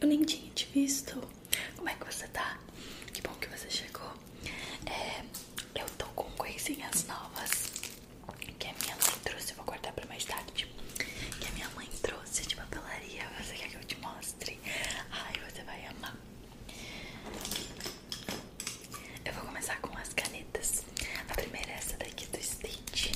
Eu nem tinha te visto. Como é que você tá? Que bom que você chegou. É, eu tô com coisinhas novas que a minha mãe trouxe. Eu vou guardar pra mais tarde. Que a minha mãe trouxe. Você de papelaria. Você quer que eu te mostre? Ai, você vai amar. Eu vou começar com as canetas. A primeira é essa daqui do Stitch.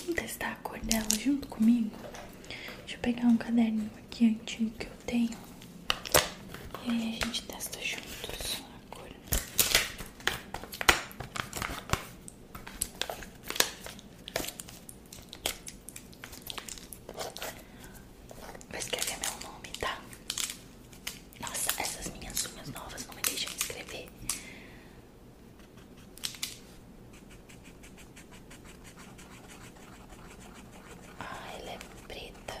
Vamos testar a cor dela junto comigo? Deixa eu pegar um caderno aqui antigo que eu tenho. E aí a gente testa juntos a cor. Vou escrever meu nome, tá? Nossa, essas minhas unhas novas não me deixam escrever. Ah, ela é preta.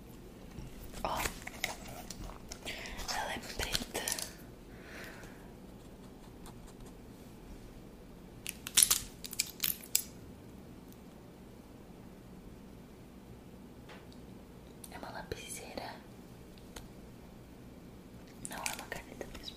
Ó, ela é preta. É uma lapiseira. Não é uma caneta mesmo.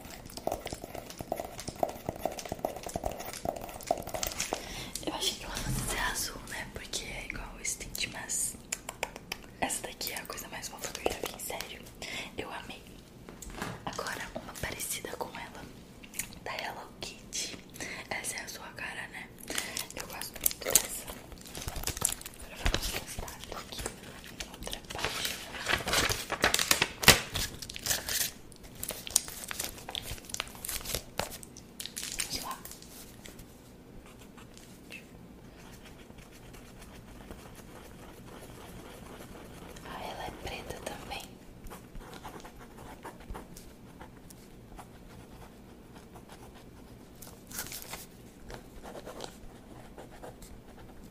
Eu achei que ela fosse azul, né? Porque é igual o stint, mas essa daqui é a coisa mais fofa que eu sério. Eu amei. Agora, uma parecida com ela, da Hello Kitty. Essa é a sua cara, né? Eu gosto muito dessa. Agora vamos testar aqui outra página. Vamos lá. Ah, ela é preta também.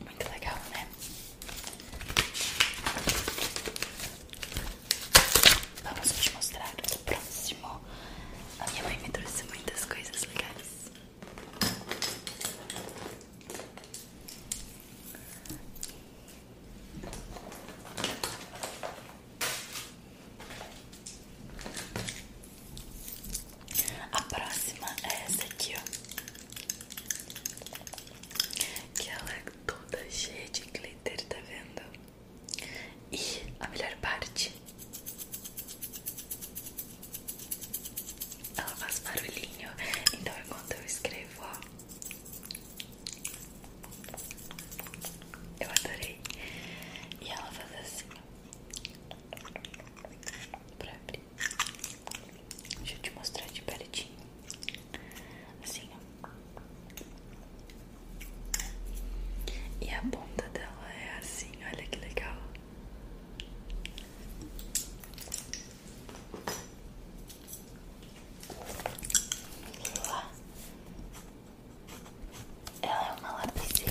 Muito legal, né? Vamos te mostrar o próximo. A minha mãe me trouxe muitas coisas legais. A próxima é essa aqui, ó. Que ela é toda cheia de glitter, tá vendo? E a melhor parte. Ela faz barulhinho, então enquanto eu escrevo, ó, eu adorei. E ela faz assim. Pra abrir. Deixa eu te mostrar de pertinho. Assim, E a ponta dela é assim, olha que legal. Ela é uma lapiseira.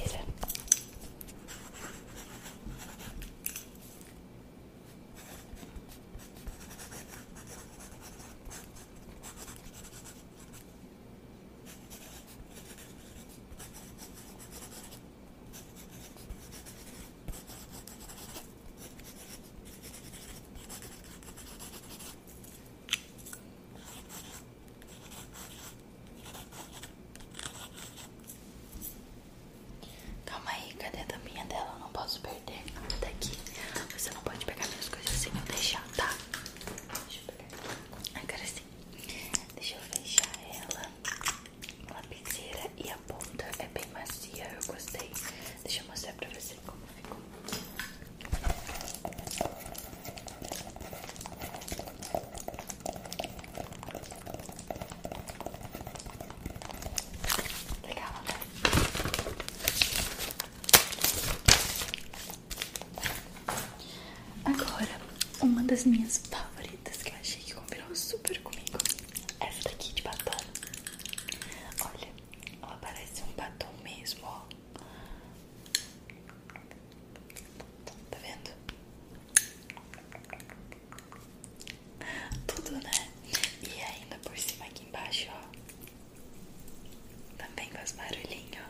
Calma aí, cadê a tampinha dela? não posso perder nada daqui. Você não pode pegar minhas coisas sem assim, eu deixar, tá? Deixa eu pegar aqui. Agora sim. Deixa eu fechar ela. A lapiseira e a ponta é bem macia, eu gostei. Deixa eu mostrar pra você como ficou. Legal, Agora, uma das minhas favoritas que eu achei que combinou super comigo. Essa daqui de batata Olha, ela parece um batom mesmo, ó. Tá vendo? Tudo, né? E ainda por cima aqui embaixo, ó. Também faz barulhinho.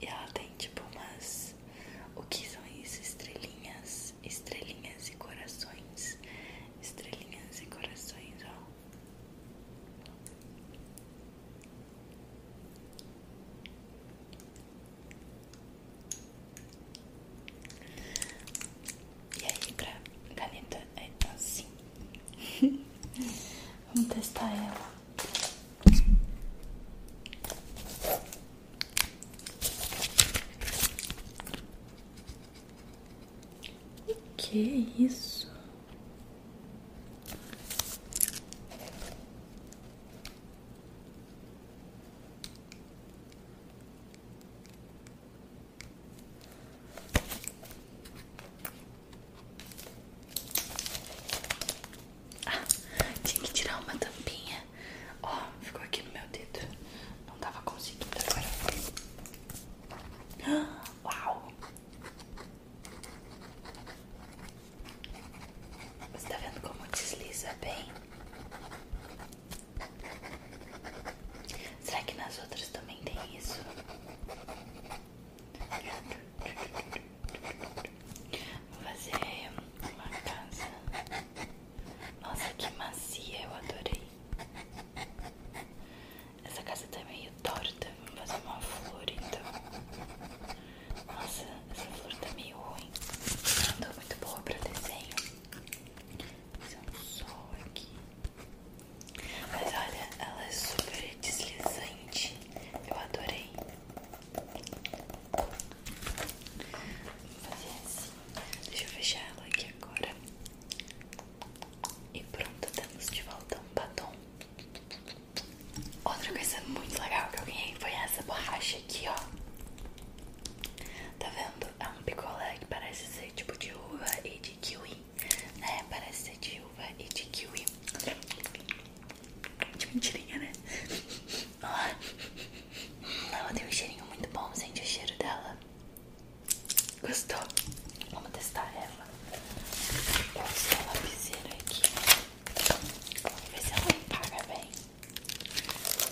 E ela tem tipo umas. O que são isso? Estrelinhas. Estrelinhas e corações. Estrelinhas e corações, ó. E aí, pra caneta é tá assim. Vamos testar ela. O que é isso? Ah, tinha que tirar uma tampinha. Ó, ficou aqui no meu dedo. Não tava conseguindo agora. Uau! Você tá vendo como desliza bem? Será que nas outras também tem isso? Vou fazer uma casa. Nossa, que macia, eu adorei. Essa casa tá meio torta. Vamos fazer uma flor então. Nossa, essa flor tá meio ruim. Não tô muito boa pra desenho. Fazer um sol aqui. Mas olha, ela é super deslizante. Eu adorei. Vou fazer assim. Deixa eu fechar ela aqui agora. E pronto, temos de volta um batom. Outra coisa muito legal que eu ganhei foi essa borracha aqui, ó. Tá vendo? É um picolé que parece ser tipo de uva e de kiwi, né? Parece ser de uva e de kiwi. De mentirinha, né? Ó. Ela tem um cheirinho muito bom, sente o cheiro dela. Gostou? Vamos testar ela. Eu uso a lapiseira aqui. Vamos ver se ela apaga bem.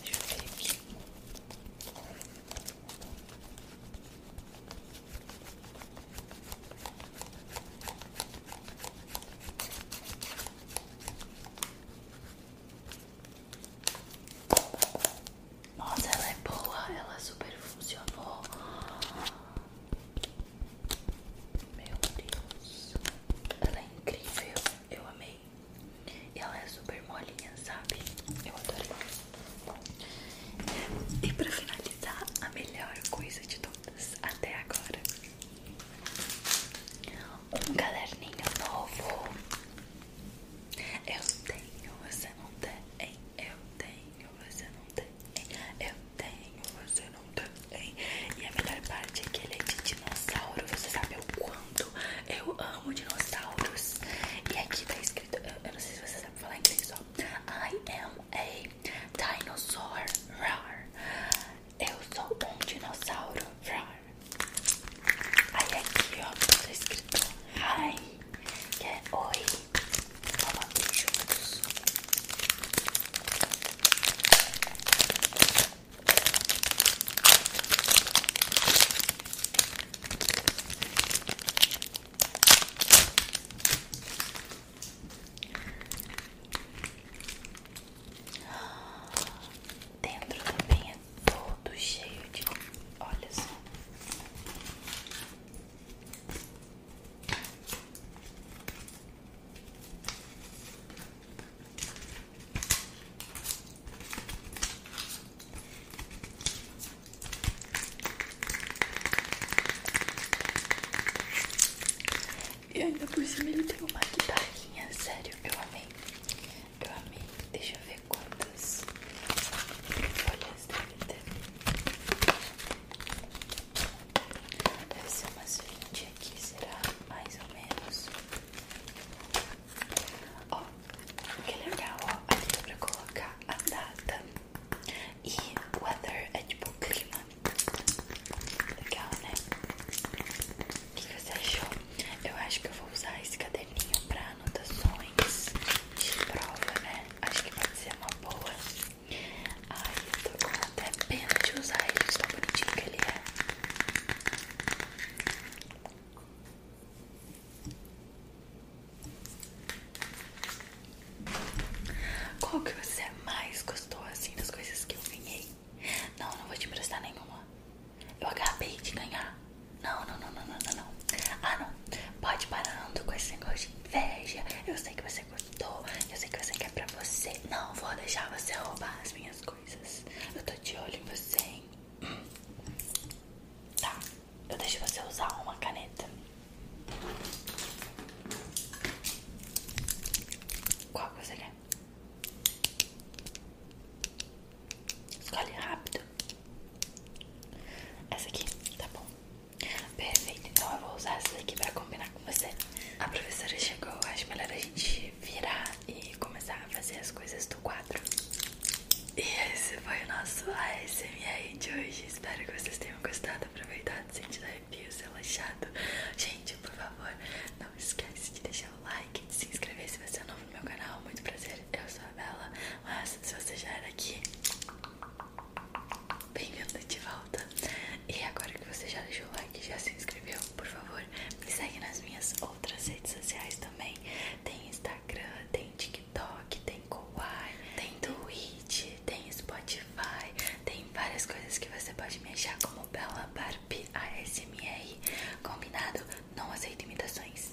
Deixa eu ver aqui. Nossa, ela é boa, ela super funcionou. Meu Deus, ela é incrível, eu amei. E ela é super molinha, sabe? Eu adorei. E pra finalizar, a melhor coisa de todas até agora: um caderninho novo. Eu tenho, você não tem. Eu tenho, você não tem. Eu tenho, você não tem. E a melhor parte é que ele é de dinossauro. Você sabe o quanto eu amo dinossauros. E aqui tá escrito, eu, não sei se vocês sabem falar inglês só. I am a dinosaur. Rar. Eu sou um dinossauro. Aí aqui, ó, tá escrito hi, que é oi. Falando juntos. Dentro também é todo cheio de. olhos. E ainda por cima ele tem uma guitarrinha, sério, eu amei. Eu amei. Deixa eu ver quantas folhas deve ter. Deve ser umas 20 aqui, será? Mais ou menos. Ó, que legal, ó. Aqui dá pra colocar a data. E weather é tipo clima. Legal, né? O que você achou? Eu acho que eu vou usar esse caderninho pra anotações de prova, né? Acho que pode ser uma boa. Ai, eu tô com até pena de usar ele, de tão bonitinho que ele é. Qual que você é mais gostou, assim, das coisas que eu ganhei? Não, não vou te emprestar nenhuma. Eu acabei de ganhar. Não, não, não, não, não, não, Ah, não. Pode parando com esse negócio de inveja. Eu sei que você gostou. Eu sei que você quer pra você. Não vou deixar você roubar as minhas coisas. Eu tô de olho em você, hein? Tá. Eu deixo você usar uma caneta. Qual que você quer? Escolhe rápido. Essa aqui, tá bom. Perfeito, então eu vou usar essa daqui para combinar com você. A professora chegou, acho melhor a gente virar e começar a fazer as coisas do quadro. E esse foi o nosso ASMR de hoje. Espero que vocês tenham gostado, aproveitado, sentido a Deus, relaxado. Gente, por favor, não esquece de deixar o like, de se inscrever se você é novo no meu canal. Muito prazer, eu sou a Bela. Mas se você já era aqui, bem-vindo de volta. E agora que você já deixou o like, já se inscreveu, por favor, me segue nas minhas outras redes sociais também. Tem Instagram, tem TikTok, tem Kawaii, tem Twitch, tem Spotify. Tem várias coisas que você pode me achar como Bella Barbie ASMR. Combinado? Não aceito imitações.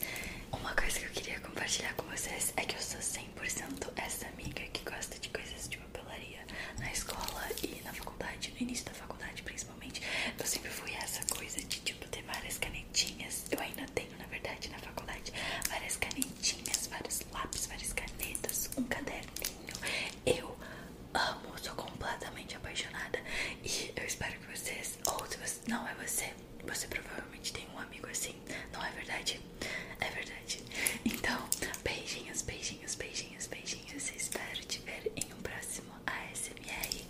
Uma coisa que eu queria compartilhar com vocês é que eu sou 100% essa amiga que gosta de coisas de papelaria na escola e na faculdade, no início da faculdade principalmente. Eu sempre fui essa coisa de tipo ter várias canetinhas. Eu ainda tenho, na verdade, na faculdade, várias canetinhas, vários lápis, várias canetas, um caderno eu amo, sou completamente apaixonada. E eu espero que vocês, ou se você, não é você, você provavelmente tem um amigo assim, não é verdade? É verdade. Então, beijinhos, beijinhos, beijinhos, beijinhos. Espero te ver em um próximo ASMR.